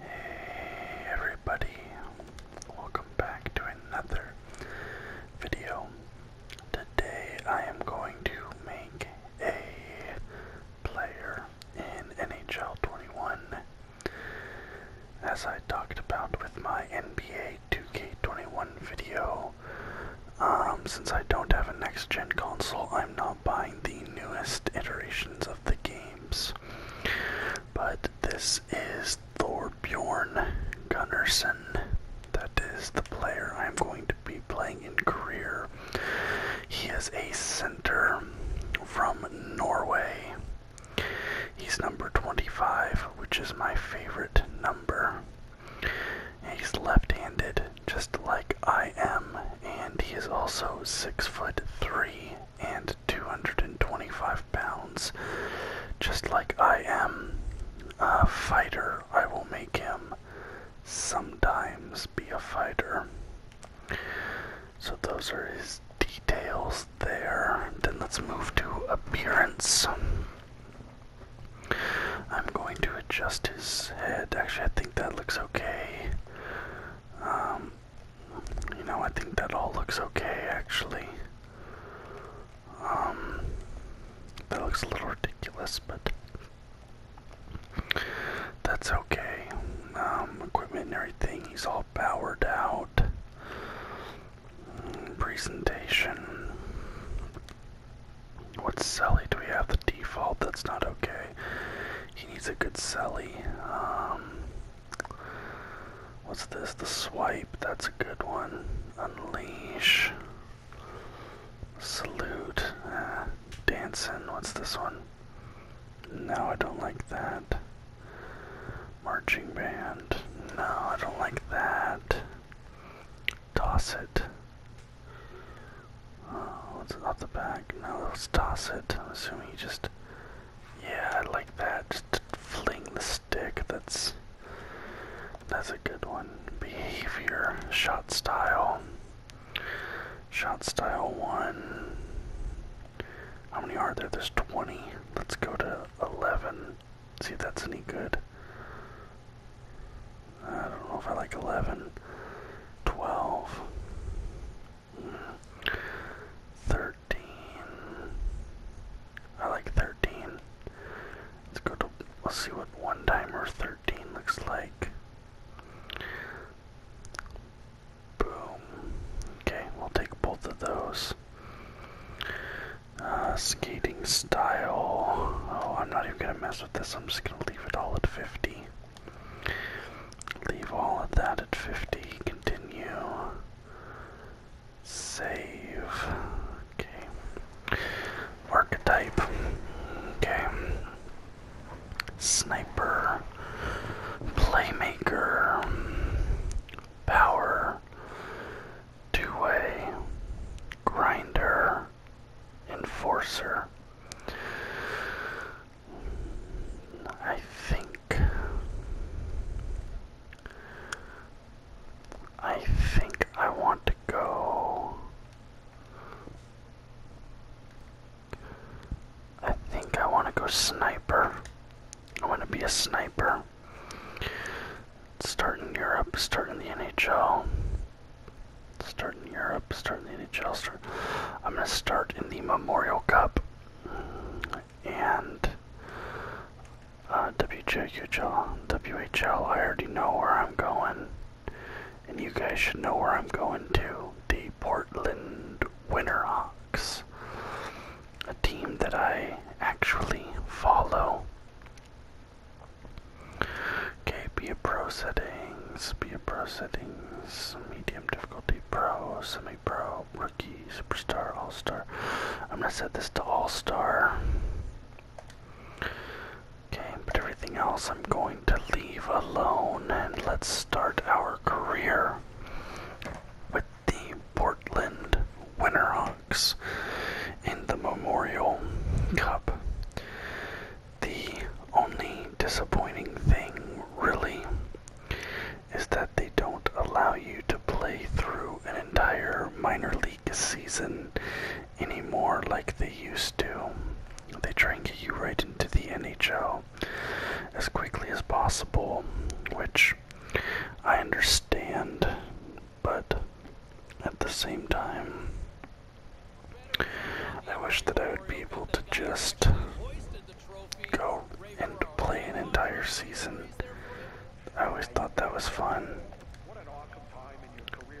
Hey everybody, welcome back to another video. Today I am going to make a player in NHL 21. As I talked about with my NBA 2K21 video, um, since I don't have a next gen console, I'm not buying the newest iterations of the games. But this is Thorbjorn Gunnarsson. That is the player I'm going to be playing in career. He is a center from Norway. He's number 25, which is my favorite number. He's left handed, just like I am, and he is also six foot three and 225 pounds. Just like I am a fighter, I will make him sometimes be a fighter. So those are his details there. Then let's move to appearance. I'm going to adjust his head. Actually, I think that looks okay. Um, you know, I think that all looks okay actually. Um, that looks a little ridiculous, but that's okay. Um, equipment and everything, he's all powered out. Mm, presentation. What's Sally? Do we have the default? That's not okay. He needs a good celly. Um, what's this? The swipe. That's a good one. Unleash. Salute. Ah, dancing. What's this one? No, I don't like that. Marching band. No, I don't like that. Toss it. Uh, what's up the back? No, let's toss it. I'm assuming you just. Yeah, like that. Just fling the stick. That's. That's a good one. Behavior. Shot style. Shot style 1. How many are there? There's 20. Let's go to 11. See if that's any good. I don't know if I like 11. 12. Thirteen. I like thirteen. Let's go to. Let's see what one timer thirteen looks like. Boom. Okay, we'll take both of those. Uh, skating style. Oh, I'm not even gonna mess with this. I'm just gonna leave it all at 50. Leave all of that at 50. Continue. Save. Okay. Archetype. Okay. Sniper. Playmaker. Power. Two way. Grinder. Enforcer. I think I think I want to go I think I want to go sniper. I want to be a sniper. Start in Europe, start in the NHL. Start in Europe, start in the NHL. Start. I'm going to start in the Memorial Cup and uh, WJQHL, WHL. I already know where I'm going, and you guys should know where I'm going to. The Portland Winterhawks, a team that I actually follow. Okay, be a pro settings, be a pro settings, medium difficulty, pro, semi pro, rookie, superstar, all star. I'm gonna set this to all star. Okay, but everything else I'm going to leave alone and let's start our career with the Portland Winterhawks in the Memorial Cup. The only disappointing thing, really, is that they don't allow you to play through an entire minor league season anymore like they used to. They try and get you right into the NHL as quickly as possible, which I understand, but at the same time, I wish that I would be able to just go and play an entire season. I always thought that was fun.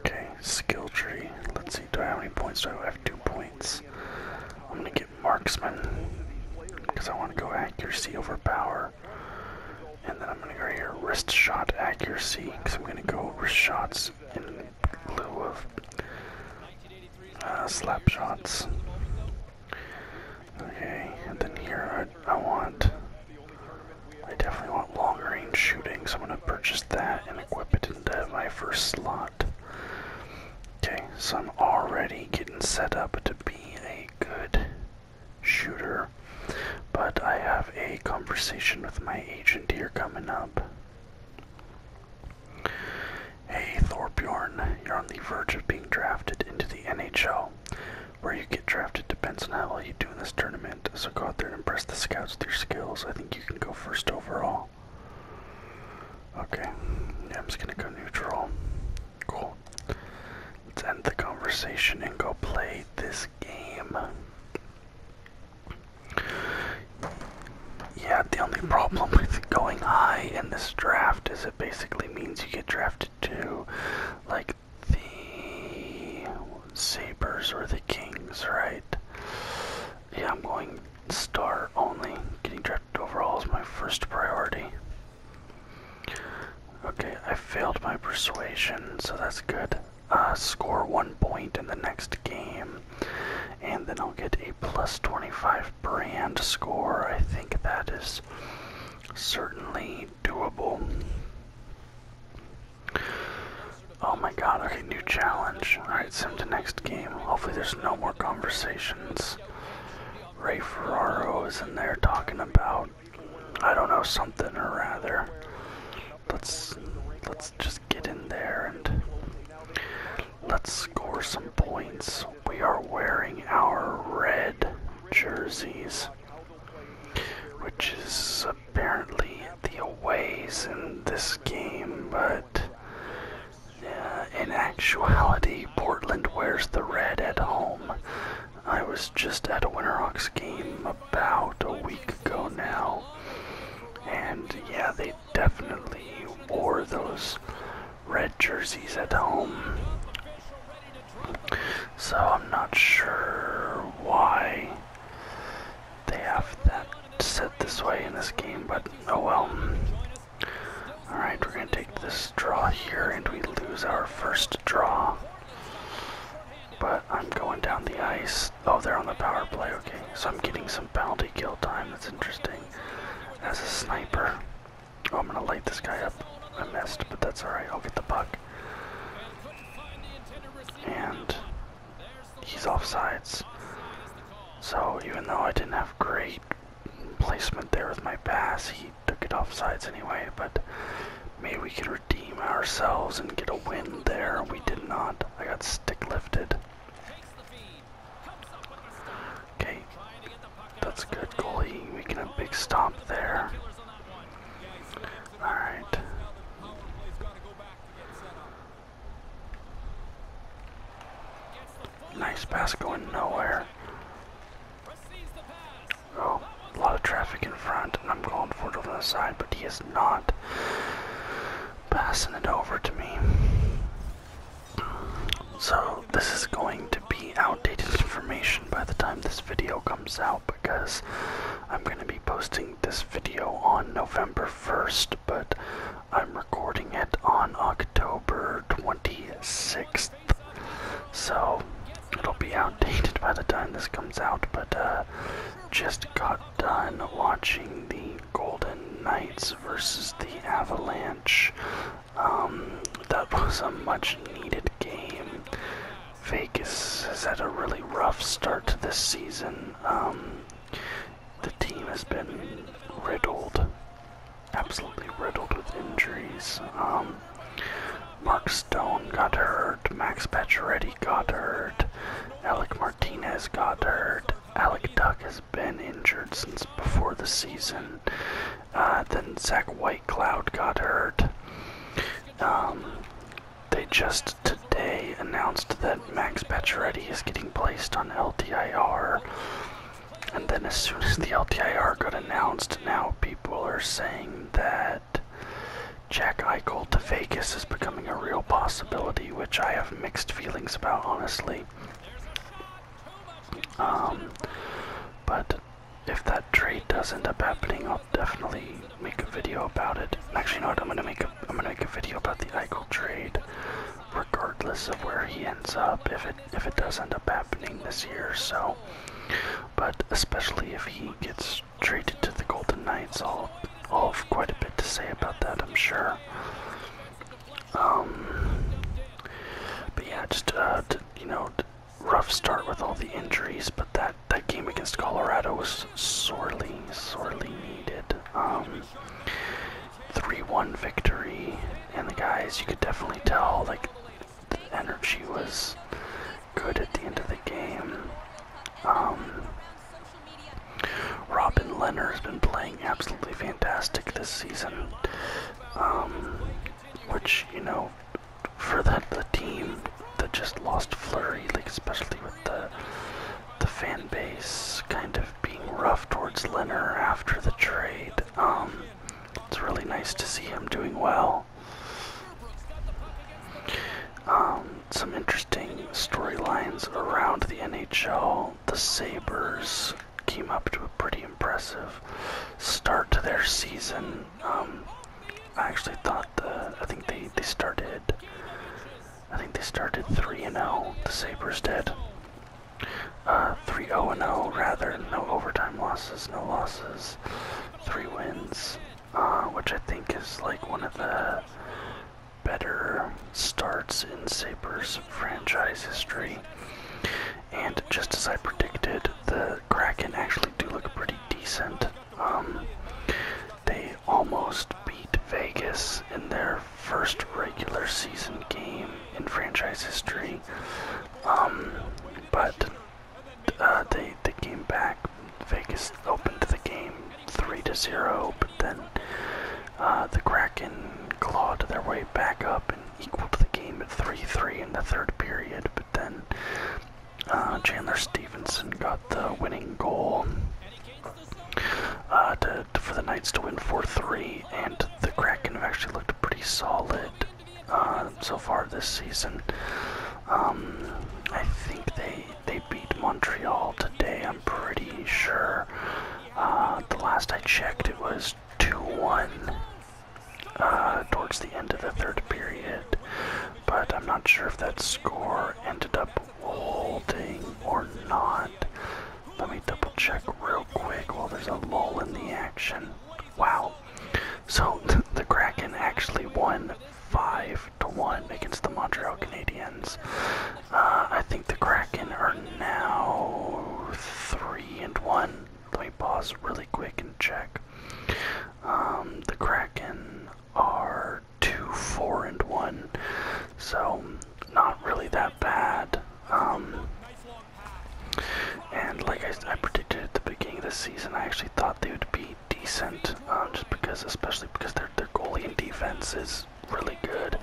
Okay, skill tree. Let's see, do I have any points? Do I have two points? I'm gonna get marksman because I want to go accuracy over power. And then I'm gonna go here, wrist shot accuracy because I'm gonna go wrist shots in of ah, slap shots. Okay, and then here I, I want, I definitely want long range shooting, so I'm going to purchase that and equip it into my first slot. Okay, so I'm already getting set up to be a good shooter, but I have a conversation with my agent here coming up. Hey Thorbjorn, you're on the verge of being drafted into the NHL. Where you get drafted depends on how well you do in this tournament, so go out there and impress the scouts with your skills. I think you can go first overall. Okay, yeah, I'm just gonna go neutral. Cool. Let's end the conversation and go play this game. Yeah, the only problem with going high in this draft is it basically means you get drafted to like the Sabres or the Kings, right? Yeah, I'm going star only. Getting drafted overall is my first priority. Okay, I failed my persuasion, so that's good. Uh, score one point in the next game and then I'll get a plus 25 brand score. I think that is certainly doable. Oh my god, okay, new challenge. Alright, sim to next game. Hopefully there's no more conversations. Ray Ferraro is in there talking about, I don't know, something or rather. Let's let's just get in there and let's score some points. We are wearing our red jerseys, which is apparently the aways in this game, but uh, in actuality, Portland wears the red at home. I was just at a Winterhawks game about a week ago now, and yeah, they definitely wore those red jerseys at home. So I'm not sure why they have that set this way in this game, but oh well. Alright, we're going to take this draw here, and we lose our first draw. But I'm going down the ice oh, they're on the power play. Okay, so I'm getting some penalty kill time. That's interesting. As a sniper, oh, I'm gonna light this guy up. I missed, but that's all right. I'll get the puck. And he's offsides. So even though I didn't have great placement there with my pass, he took it offsides anyway. But maybe we could redeem ourselves and get a win there. We did not. I got stick lifted. Okay, that's good goalie, making a big stop there. Alright. Nice pass going nowhere. Oh, a lot of traffic in front, and I'm going forward on the side, but he is not passing it over to me. So, this is going to be outdated information by the time this video comes out because I'm going to be posting this video on November 1st, but I'm recording it on October 26th. So, it'll be outdated by the time this comes out, but uh, just got done watching the Golden Knights versus the Avalanche. Um, that was a much needed game. Vegas has had a really rough start to this season. Um, the team has been riddled, absolutely riddled with injuries. Um, Mark Stone got hurt, Max Pacioretty got hurt, Alec Martinez got hurt. Alec Duck has been injured since before the season. Uh, then Zach Whitecloud got hurt. Um, they just today announced that Max Pacioretty is getting placed on LTIR. And then as soon as the LTIR got announced, now people are saying that Jack Eichel to Vegas is becoming a real possibility, which I have mixed feelings about, honestly. Um, but if that trade does end up happening, I'll definitely make a video about it. Actually, no, I'm gonna make a I'm gonna make a video about the Eichel trade, regardless of where he ends up. If it if it does end up happening this year, so. But especially if he gets traded to the Golden Knights, all all have quite a bit to say about that, I'm sure. Um, but yeah, just uh, you know, rough start with all the injuries, but that that game against Colorado was sorely, sorely needed. Um, three-one victory, and the guys you could definitely tell like the energy was good at the end of the game. Um, Robin Leonard has been playing absolutely fantastic this season, um, which you know, for that the team that just lost Flurry, like especially with the the fan base kind of being rough towards Leonard after the trade. Um, it's really nice to see him doing well. Um, some interesting storylines around the NHL. The Sabres came up to a pretty impressive start to their season. Um, I actually thought the I think they they started I think they started 3 and 0. The Sabres did. Uh, 3 0 and 0 rather. No overtime losses, no losses. 3 wins. Uh, which I think is like one of the better starts in Sabres franchise history. And just as I predicted, the Kraken actually do look pretty decent. Um, they almost beat Vegas in their first regular season game in franchise history. Um, but uh, they, they came back Vegas opened the game three to zero, but then uh, the Kraken clawed their way back up and equalled the game at three three in the third period. But then uh, Chandler Stevenson got the winning goal uh, for the Knights to win four three, and the Kraken have actually looked pretty solid so far this season. Um, I think they they beat Montreal today, I'm pretty sure. Uh, the last I checked, it was 2 1 uh, towards the end of the third period, but I'm not sure if that score ended up holding or not. Let me double check real quick while there's a lull in the action. Wow. So the Kraken actually won five to one against the Montreal Canadiens. Uh, I think the Kraken are now three and one. Let me pause really quick and check. Um, the Kraken are two, four, and one, so not really that bad. Um, and like I, I predicted at the beginning of the season, I actually thought they would be decent, uh, just because, especially because their their goalie and defense is really good,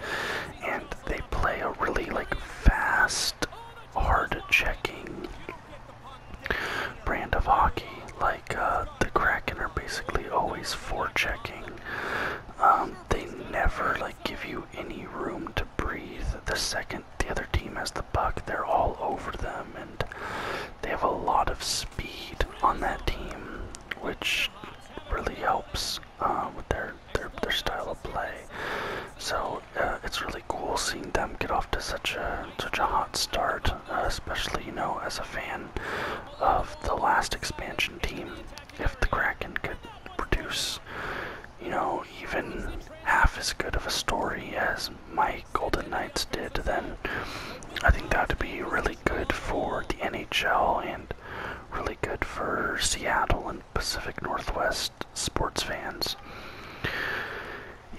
and they play a really like fast, hard-checking brand of hockey. Like uh, the Kraken are basically always forechecking. Um, they never like give you any room to breathe. The second the other team has the puck, they're all over them, and they have a lot of speed on that team which really helps uh, with their, their style of play. So uh, it's really cool seeing them get off to such a such a hot start, uh, especially you know as a fan of the last expansion team. If the Kraken could produce, you know, even half as good of a story as my Golden Knights did, then I think that'd be really good for the NHL and really good for Seattle and Pacific Northwest sports fans.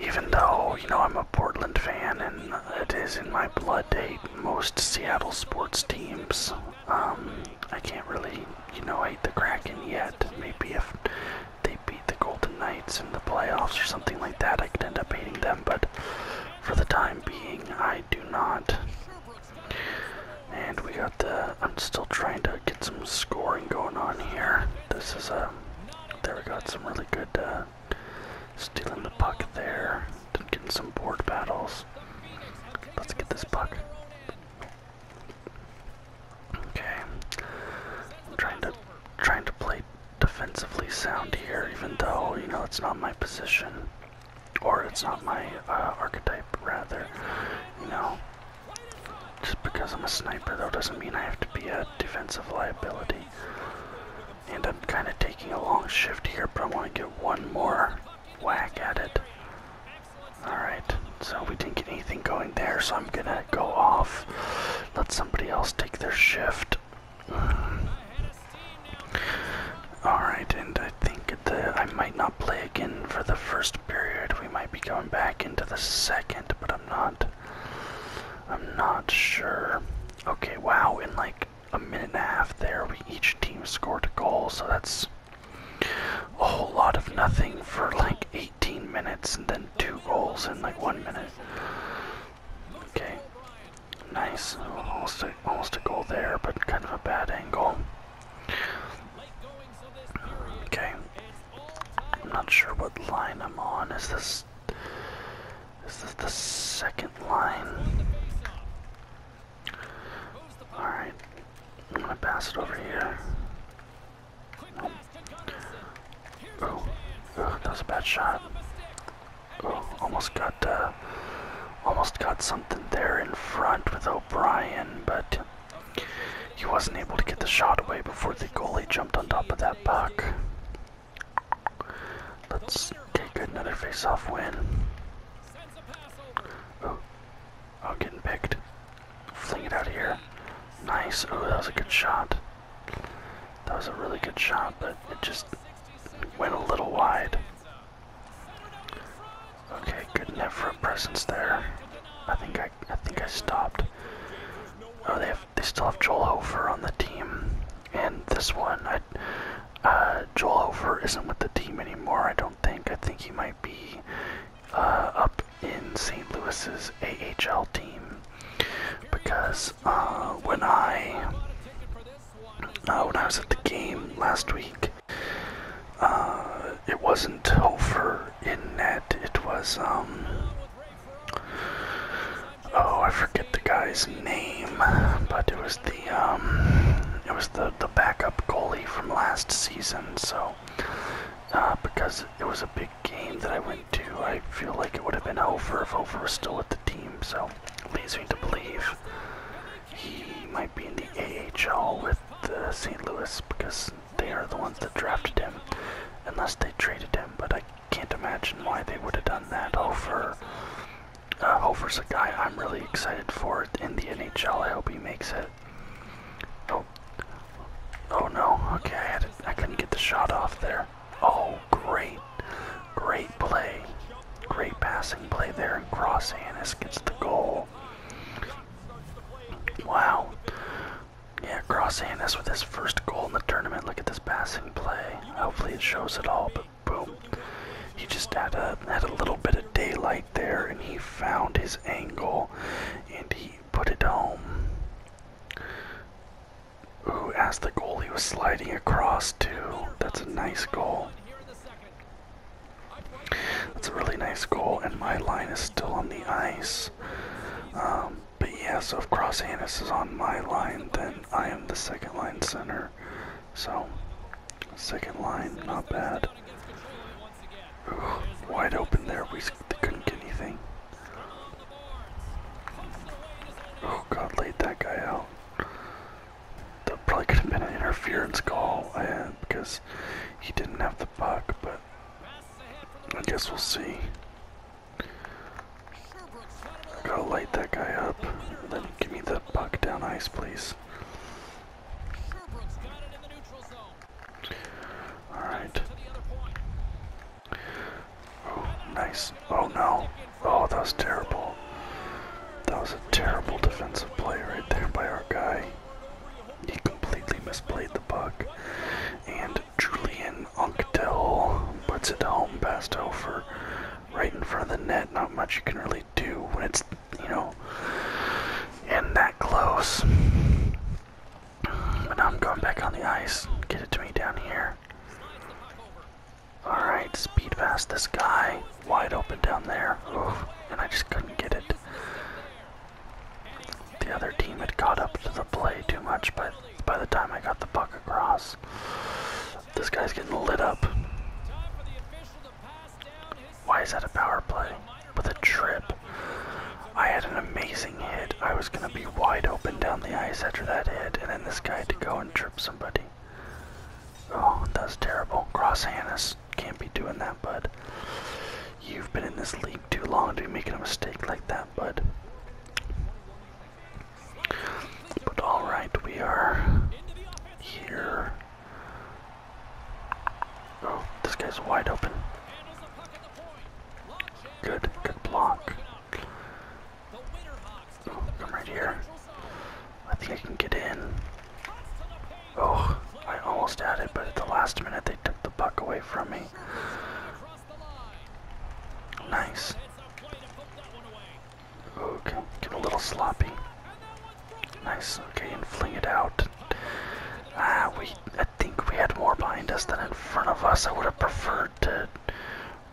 Even though, you know, I'm a Portland fan and it is in my blood to hate most Seattle sports teams, um, I can't really, you know, hate the Kraken yet. Maybe if they beat the Golden Knights in the playoffs or something like that, I could end up hating them, but for the time being, I do not. And we got the. I'm still trying to get some scoring going on here. This is a. Uh, there we got some really good uh, stealing the puck there. Getting some board battles. Let's get this puck. Okay. trying to trying to play defensively sound here, even though, you know, it's not my position. Or it's not my uh, archetype, rather. You know, just because I'm a sniper, though, doesn't mean I have to be a defensive liability. And I'm kind of taking a long shift here, but I want to get one more whack at it. Alright, so we didn't get anything going there, so I'm gonna go off, let somebody else take their shift. Alright, and I think the, I might not play again for the first period. We might be going back into the second, but I'm not. I'm not sure. Okay, wow, in like a minute and a half there, we each team scored a goal, so that's a whole lot of nothing for like 18 minutes and then two goals in like one minute. Okay. Nice. Almost a, almost a goal there, but kind of a bad angle. Okay. I'm not sure what line I'm on. Is this is this the second line? Alright. I'm gonna pass it over here. Nope. Oh, that was a bad shot. Oh, almost got uh, almost got something there in front with O'Brien, but he wasn't able to get the shot away before the goalie jumped on top of that puck. Let's take another faceoff win. Oh, oh, getting picked. Fling it out of here. Nice. Oh, that was a good shot. That was a really good shot, but it just went a little wide. Okay, good enough presence there. I think I, I think I stopped. Oh, they have, they still have Joel Hofer on the team, and this one, uh, Joel Hofer isn't with the team anymore. I don't think. I think he might be uh, up in St. Louis's AHL team because uh, when I uh, when I was at the game last week. Uh, it wasn't Hofer in net. It was um, Oh, I forget the guy's name, but it was the um, it was the the backup goalie from last season. So, because it was a big game that I went to, I feel like it would have been Hofer if Hofer was still at the team. So, leads me to believe he might be in the AHL with uh, St. Louis because they are the ones that drafted him, unless they traded him. But I can't imagine why they would have done that. Over, uh, Hofer's a guy I'm really excited for in the NHL. I hope he makes it. Oh, oh no. Okay, I couldn't get the shot off there. Oh, great. Great play. Great passing play there. And Cross Grossanis gets the goal. Wow. Yeah, Cross Grossanis with his first goal in the tournament. Look at this passing play. Hopefully it shows it all, but boom. He just had a, had a little bit of daylight there, and he found his angle, and he put it home. Ooh, as the goalie was sliding across too. That's a nice goal. That's a really nice goal, and my line is still on the ice. Um, but yeah, so if Cross Hannis is on my line, then I am the second line center. So, second line, not bad. wide open there, we couldn't get anything. Oh God, laid that guy out. That probably could have been an interference call because he didn't have the puck, but I guess we'll see. gotta light that guy up. And then give me the puck down ice, please. Alright. Oh, nice. Oh no. Oh, that was terrible. That was a terrible defensive play right there by our guy. He completely misplayed the puck. And Julian Unktel puts it home past over, right in front of the net. Not much you can really do when it's, you know, in that close. But now I'm going back on the ice. Get it to me down here. Alright, speed past this guy. Wide open down there. and I just couldn't get it. The other team had caught up to the play too much but by the time I got the puck across. This guy's getting lit up. Why is that a power play? With a trip. I had an amazing hit. I was. It's going to be wide open down the ice after that hit, and then this guy to go and trip somebody. Oh, that's terrible. Cross Hannes can't be doing that, bud. You've been in this league too long to be making a mistake like that, bud. But alright, we are here. Oh, this guy's wide open. Good, good block. Oh, i right here. I think I can get in. Oh, I almost had it, but at the last minute they took the puck away from me. Nice. Okay, get a little sloppy. Nice, okay, and fling it out. Ah, we, I think we had more behind us than in front of us. I would have preferred to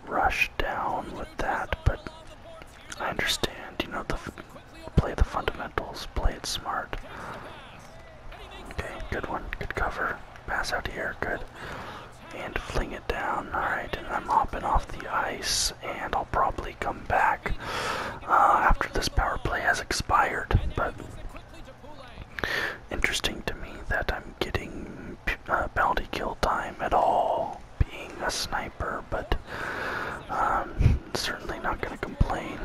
rush down with that, but I understand, you know, the play the fundamentals, play it smart. Okay, good one, good cover. Pass out here, good. And fling it down, alright, I'm hopping off the ice, and I'll probably come back uh, after this power play has expired, but interesting to me that I'm getting uh, penalty kill time at all, being a sniper, but um, certainly not going to complain.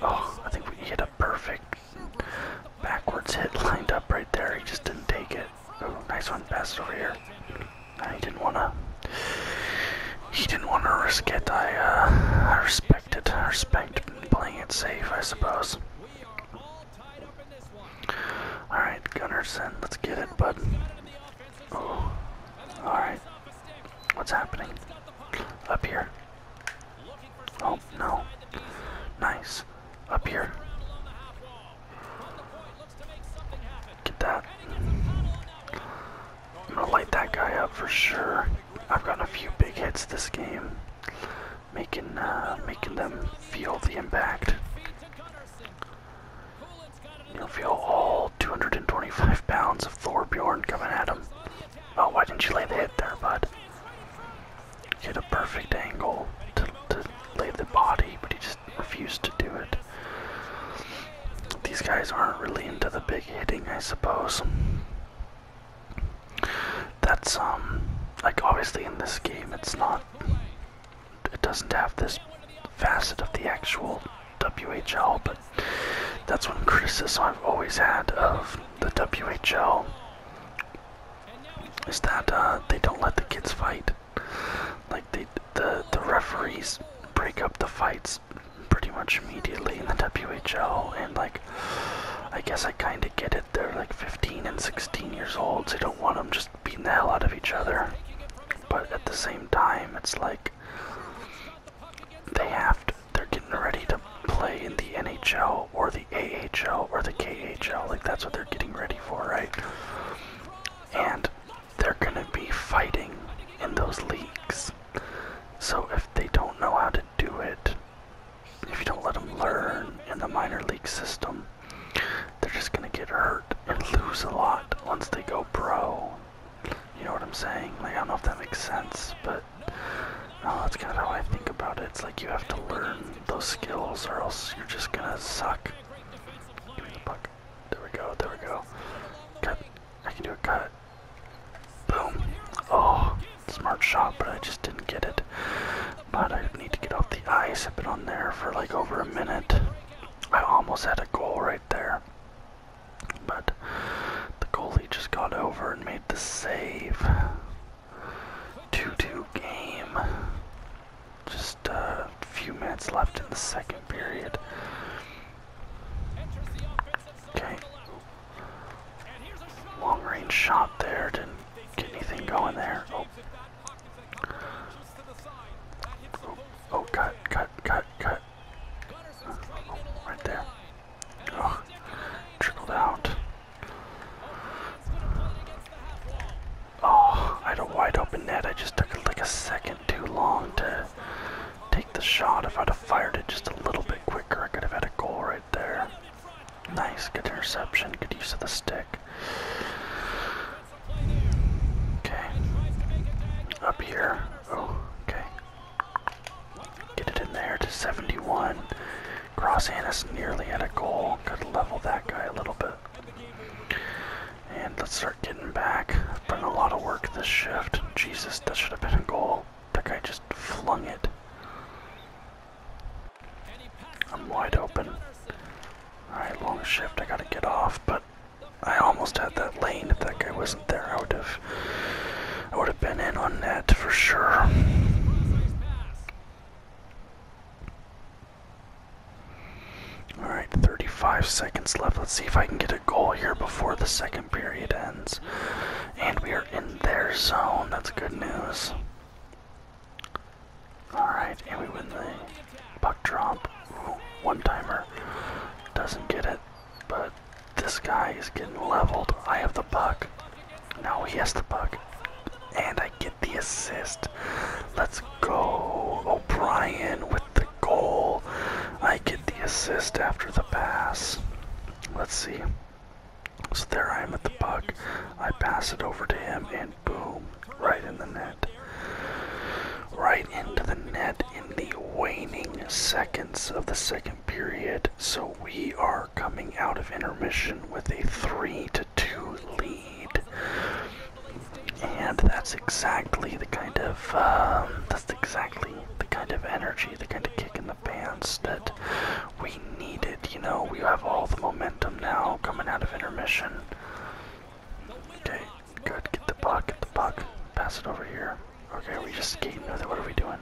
Oh, I think we hit a perfect backwards hit lined up right there. He just didn't take it. Oh, nice one. Pass over here. I didn't want to. He didn't want to risk it. I, uh, I respect it. I respect playing it safe, I suppose. All right, Gunnarsson, let's get it, bud. all right. What's happening up here? Oh no! Nice up here. Get that. I'm gonna light that guy up for sure. I've got a few big hits this game making uh, making them feel the impact. You'll feel all 225 pounds of Thorbjorn coming at him. Oh, why didn't you lay the hit there, bud? Get a perfect angle to, to lay the body, but he just refused to do it. These guys aren't really into the big hitting, I suppose. That's um like obviously in this game it's not it doesn't have this facet of the actual WHL, but that's one criticism I've always had of the WHL is that uh, they don't let the kids fight. Like they, the the referees break up the fights pretty much immediately in the WHL, and like I guess I kind of get it. They're like 15 and 16 years old. So you don't want them just beating the hell out of each other. But at the same time, it's like they have to, they're getting ready to play in the NHL or the AHL or the KHL. Like that's what they're getting ready for, right? And they're going to be fighting in those leagues. So if they don't know how to do it, if you don't let them learn in the minor league system, they're just going to get hurt and lose a lot once they go pro. You know what I'm saying? Like, I don't know if that makes sense, but that's kind of how I think about it. It's like you have to learn those skills or else you're just going to suck. There we go, there we go. Cut. I can do a cut. Boom. Oh smart shot, but I just didn't get it. But I need to get off the ice. I've been on there for like over a minute. I almost had a goal right there. But the goalie just got over and made the save. 2 2 game. Just a few minutes left in the second period. Okay. Long range shot there, didn't get anything going there. Oh, oh, oh cut, cut, cut, cut. Uh, oh, right there. Oh, trickled out. Oh, I had a wide open net. I just took like a second too long to take the shot. If I'd have fired it just a little bit quicker, I could have had a goal right there. Nice, good interception, good use of the stick. Okay. Up here. Oh, okay. Get it in there to 71. Cross Annis nearly at a goal. Could level that guy a little bit. And let's start getting back. I've done a lot of work this shift. Jesus, that should have been a goal. That guy just flung it. I'm wide open. Alright, long shift. I gotta get off, but I almost had that lane. If that guy wasn't there, I would have, I would have been in on that for sure. Alright, 35 seconds left. Let's see if I can get a goal here before the second period ends. And we are in their zone. That's good news. Alright, and we win the buck drop. one timer doesn't get it, but this guy is getting leveled. I have the buck. Now he has the buck. And I get the assist. Let's go. O'Brien with the goal. I get the assist after the pass. Let's see. So there I am at the puck. I pass it over to him and boom, right in the net. Right into the net in the waning seconds of the second period. So we are coming out of intermission with a 3 to 2 lead. And that's exactly the kind of um, that's exactly the kind of energy, the kind of kick in the pants that we need it, you know, we have all the momentum now coming out of intermission. Okay, good, get the puck, get the puck, pass it over here. Okay, are we just skating with it? What are we doing?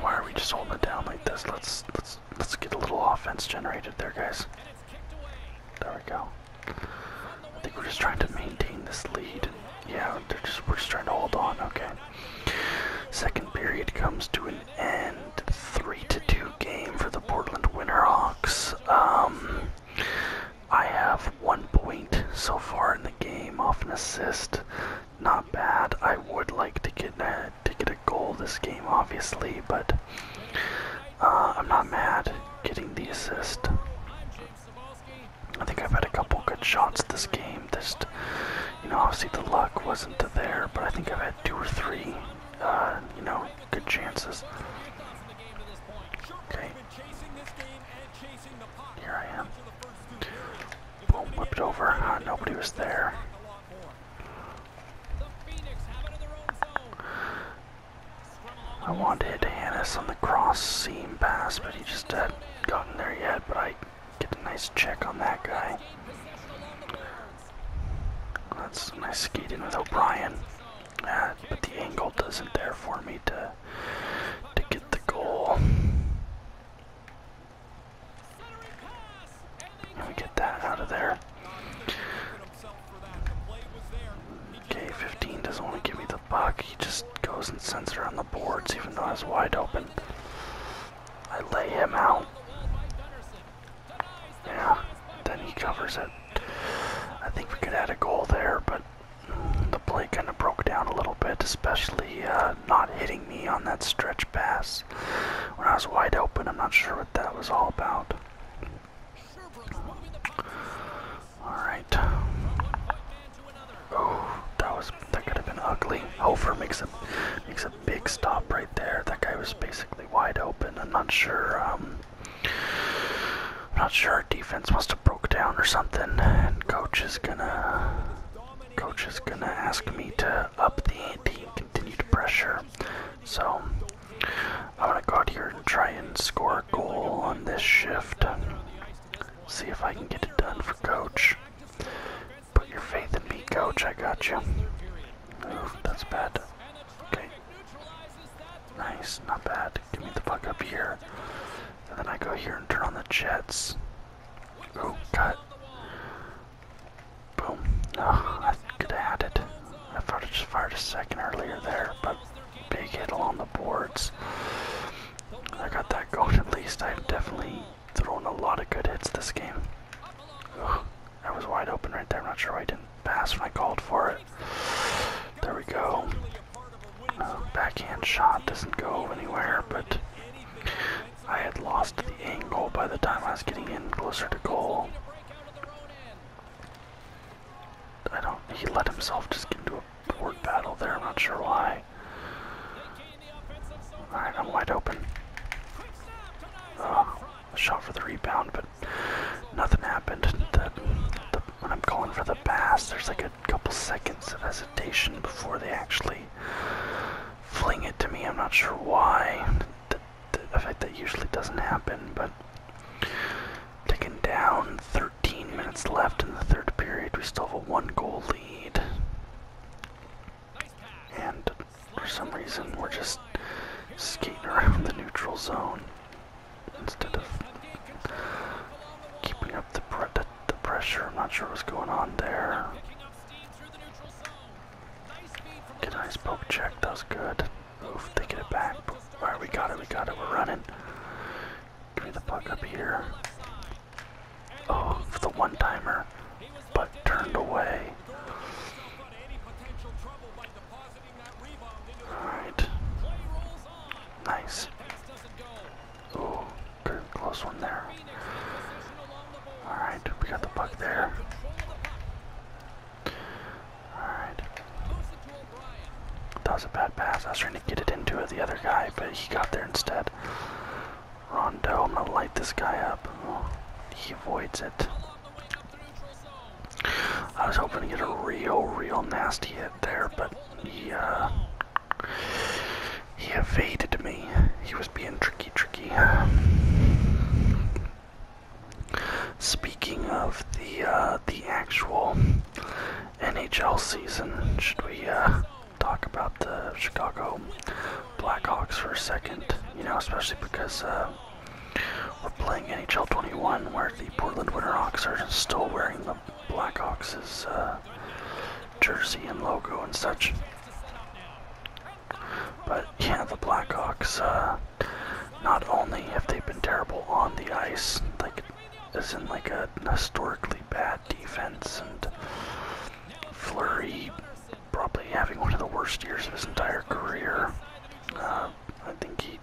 Why are we just holding it down like this? Let's let's let's get a little offense generated there, guys. There we go. I think we're just trying to maintain this lead yeah, they're just we're just trying to hold on. Okay. Second period comes to an end. Three to two game for the Portland Winterhawks. Um, I have one point so far in the game off an assist. Not bad. I would like to get a, to get a goal this game, obviously, but uh, I'm not mad getting the assist. I think I've had a couple good shots this game. Just, you know, obviously the luck wasn't there, but I think I've had two or three, uh, you know, good chances. Okay. Here I am. Boom, whipped over. Uh, nobody was there. I wanted to hit Hannes on the cross seam pass, but he just hadn't gotten there yet. But I Get a nice check on that guy. That's a nice skating with O'Brien. Ah, but the angle doesn't there for me to to get the goal. Let me get that out of there. Okay, 15 doesn't want to give me the buck. He just goes and sends her on the boards even though I was wide open. I lay him out. Yeah, then he covers it. I think we could add a goal there, but the play kind of broke down a little bit, especially uh, not hitting me on that stretch pass when I was wide open. I'm not sure what that was all about. All right. Oh, that was that could have been ugly. Hofer makes a makes a big stop right there. That guy was basically wide open. I'm not sure. I'm um, not sure our defense must have broke down or something. And coach is gonna coach is gonna ask me to up the ante, and continue to pressure. So I'm gonna go out here and try and score a goal on this shift. See if I can get it done for Coach. Put your faith in me, Coach. I got you. that's bad. Okay. Nice, not bad. Give me the fuck up here. And then I go here and turn on the jets. Ooh, cut. Boom. No, I could have had it. I thought I just fired a second earlier there, but big hit along the boards. I got that goat at least. I've definitely thrown a lot of good hits this game. That was wide open right there. I'm not sure why I didn't pass when I called for it. There we go. Uh, backhand shot doesn't go anywhere, but I had lost the angle by the time I was getting in closer to goal. I don't. He let himself just get into a a board battle there. I'm not sure why. All right, I'm wide open. Oh, shot for the rebound, but nothing happened. when I'm calling for the pass, there's like a couple seconds of hesitation before they actually fling it to me. I'm not sure why. The, the that usually doesn't happen, but taken down 13 minutes left in the third period. We still have a one goal lead. And for some reason, we're just skating around the neutral zone instead of keeping up the, pressure. I'm not sure what's going on there. Nice poke check, that good. Oof, they get it back. Alright, we got it, we got it, we're running. Give me the puck up here of oh, the one-timer, but turned away. Alright. Nice. Ooh, good close one there. Alright, we got the puck there. Alright. That was a bad pass. I was trying to get it into the other guy, but he got there instead. Rondo, I'm gonna light this guy up. he avoids it. I was hoping to get a real, real nasty hit there, but he, uh, he evaded me. He was being tricky, tricky. Speaking of the, uh, the actual NHL season, should we uh, talk about the Chicago Blackhawks for a second? You know, especially because uh, we're playing NHL 21, where the Portland Winterhawks are still wearing the Blackhawks' uh, jersey and logo and such. But yeah, the Blackhawks, uh, not only have they been terrible on the ice, like, as in like a historically bad defense, and Flurry probably having one of the worst years of his entire career. Uh, I think he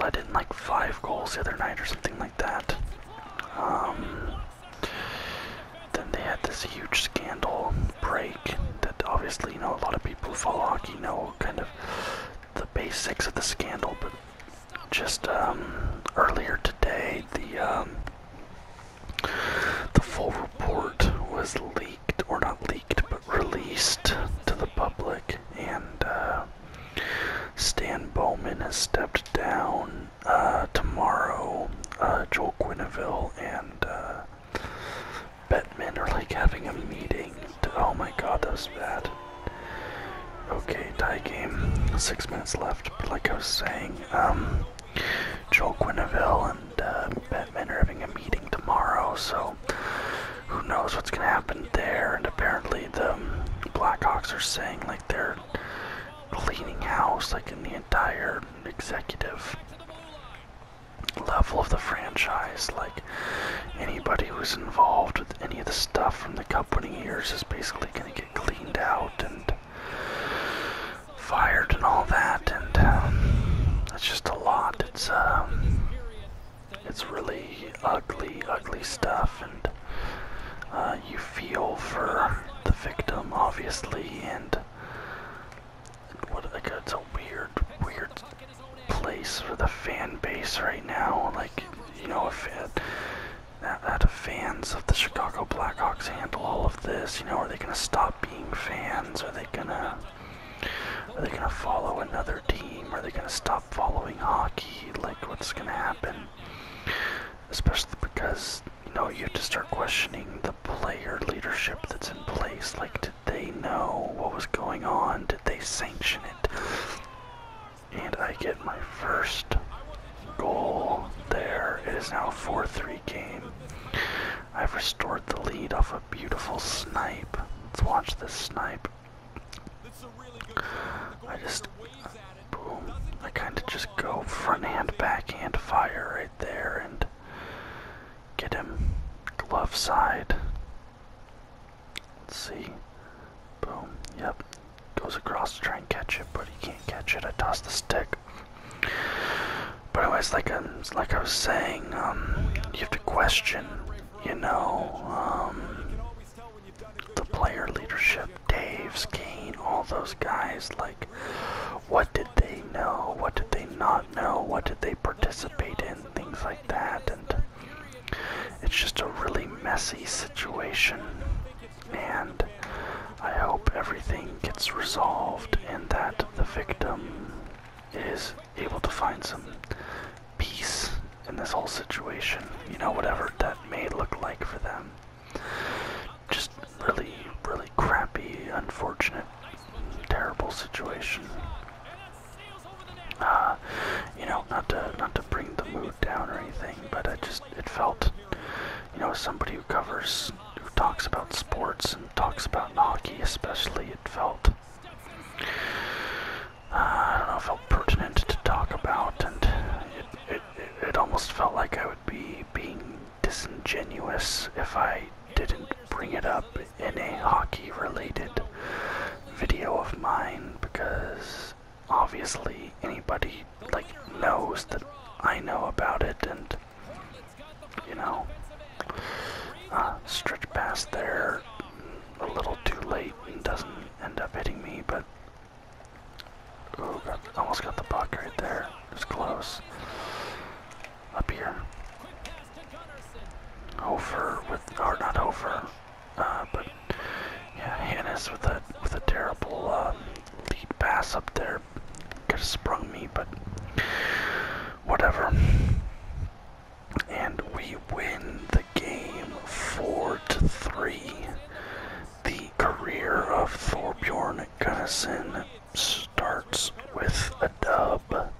let in like five goals the other night or something like that. Um, then they had this huge scandal break that obviously you know a lot of people follow hockey know kind of the basics of the scandal, but just um, earlier today, the um, the full report was leaked, or not leaked, but released to the public, and uh, Stan Bowman has stepped down uh, tomorrow. Uh, Joel Quinneville and uh, Bettman are like having a meeting. oh my god, that's bad. Okay, tie game. Six minutes left. But like I was saying, um, Joel Quinneville and uh, Batman are having a meeting tomorrow, so who knows what's gonna happen there? And apparently, the Blackhawks are saying like they're cleaning house, like in the entire executive level of the franchise. Like anybody who's involved with any of the stuff from the cup winning years is basically get cleaned out and fired and all that. And it's um, just a lot. It's um, it's really ugly, ugly stuff. And uh, you feel for the victim, obviously, and what like it's a weird, weird place for the fan base right now. Like you know, if it, how do fans of the Chicago Blackhawks handle all of this? You know, are they going to stop being fans? Are they going to are they going to follow another team? Are they going to stop following hockey? Like, what's going to happen? Especially because you know you have to start questioning the player leadership that's in place. Like, did they know what was going on? Did they sanction it? and I get my first goal there. It is now 4-3 game. I've restored the lead off a beautiful snipe. Let's watch this snipe. I just, boom, I kind of just go front hand, back hand, fire right there and get him glove side. Let's see. Boom. Yep. Goes across to try and catch it, but he can't catch it. I toss the stick. But anyways, like I, like I was saying, um, you have to question, you know, um, the player leadership, Dave's, Kane, all those guys. Like, what did they know? What did they not know? What did they participate in? Things like that, and it's just a really messy situation, and I hope everything gets resolved and that the victim is able to find some peace in this whole situation, you know, whatever that may look like for them. Just really, really crappy, unfortunate, terrible situation. you know, not to not to bring the mood down or anything, but I just it felt, you know, somebody who covers, who talks about sports and talks about hockey especially, it felt, uh, I don't know, felt pertinent to talk about, and it it, it almost felt like I would be being disingenuous if I didn't bring it up in a hockey related video of mine because obviously anybody like knows that I know about it and you know uh, stretch past there a little too late and doesn't end up hitting me but almost got the puck right there it's close up here over with or not over. Uh, but yeah, Hannes with a with a terrible uh, lead pass up there could have sprung me, but whatever. And we win the game four to three. The career of Thorbjorn Gunnison starts with a dub.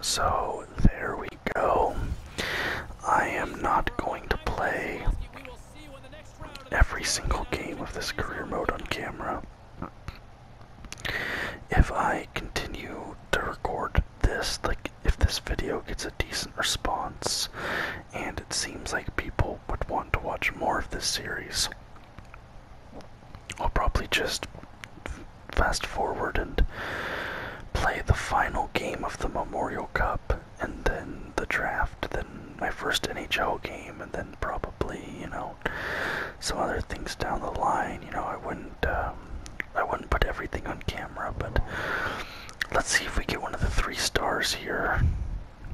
So there we go. I am not going to play every single game of this career mode on camera. If I continue to record this, like if this video gets a decent response, and it seems like people would want to watch more of this series, I'll probably just fast forward and play the final game of the Memorial Cup and then the draft, then my first NHL game, and then probably, you know, some other things down the line. You know, I wouldn't, um, I wouldn't put everything on camera, but let's see if we get one of the three stars here.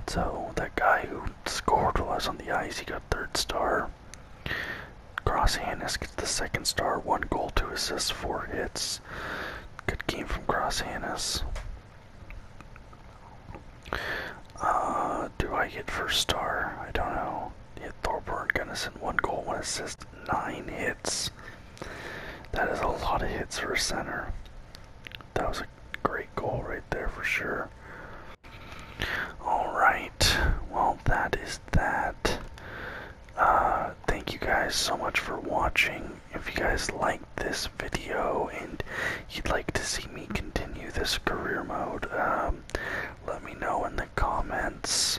So that guy who scored while I on the ice, he got third star. Cross-Hannis gets the second star, one goal, two assists, four hits. Good game from Cross-Hannis. Uh, do I get first star? I don't know. Hit Thorburn Gunnison, one goal, one assist, nine hits. That is a lot of hits for a center. That was a great goal right there for sure. Alright, well, that is that. Uh, thank you guys so much for watching. If you guys liked this video and you'd like to see me continue this career mode, um, let me know in the comments.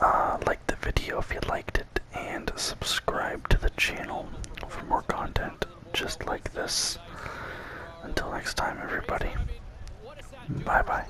Uh, like the video if you liked it, and subscribe to the channel for more content just like this. Until next time, everybody. Bye bye.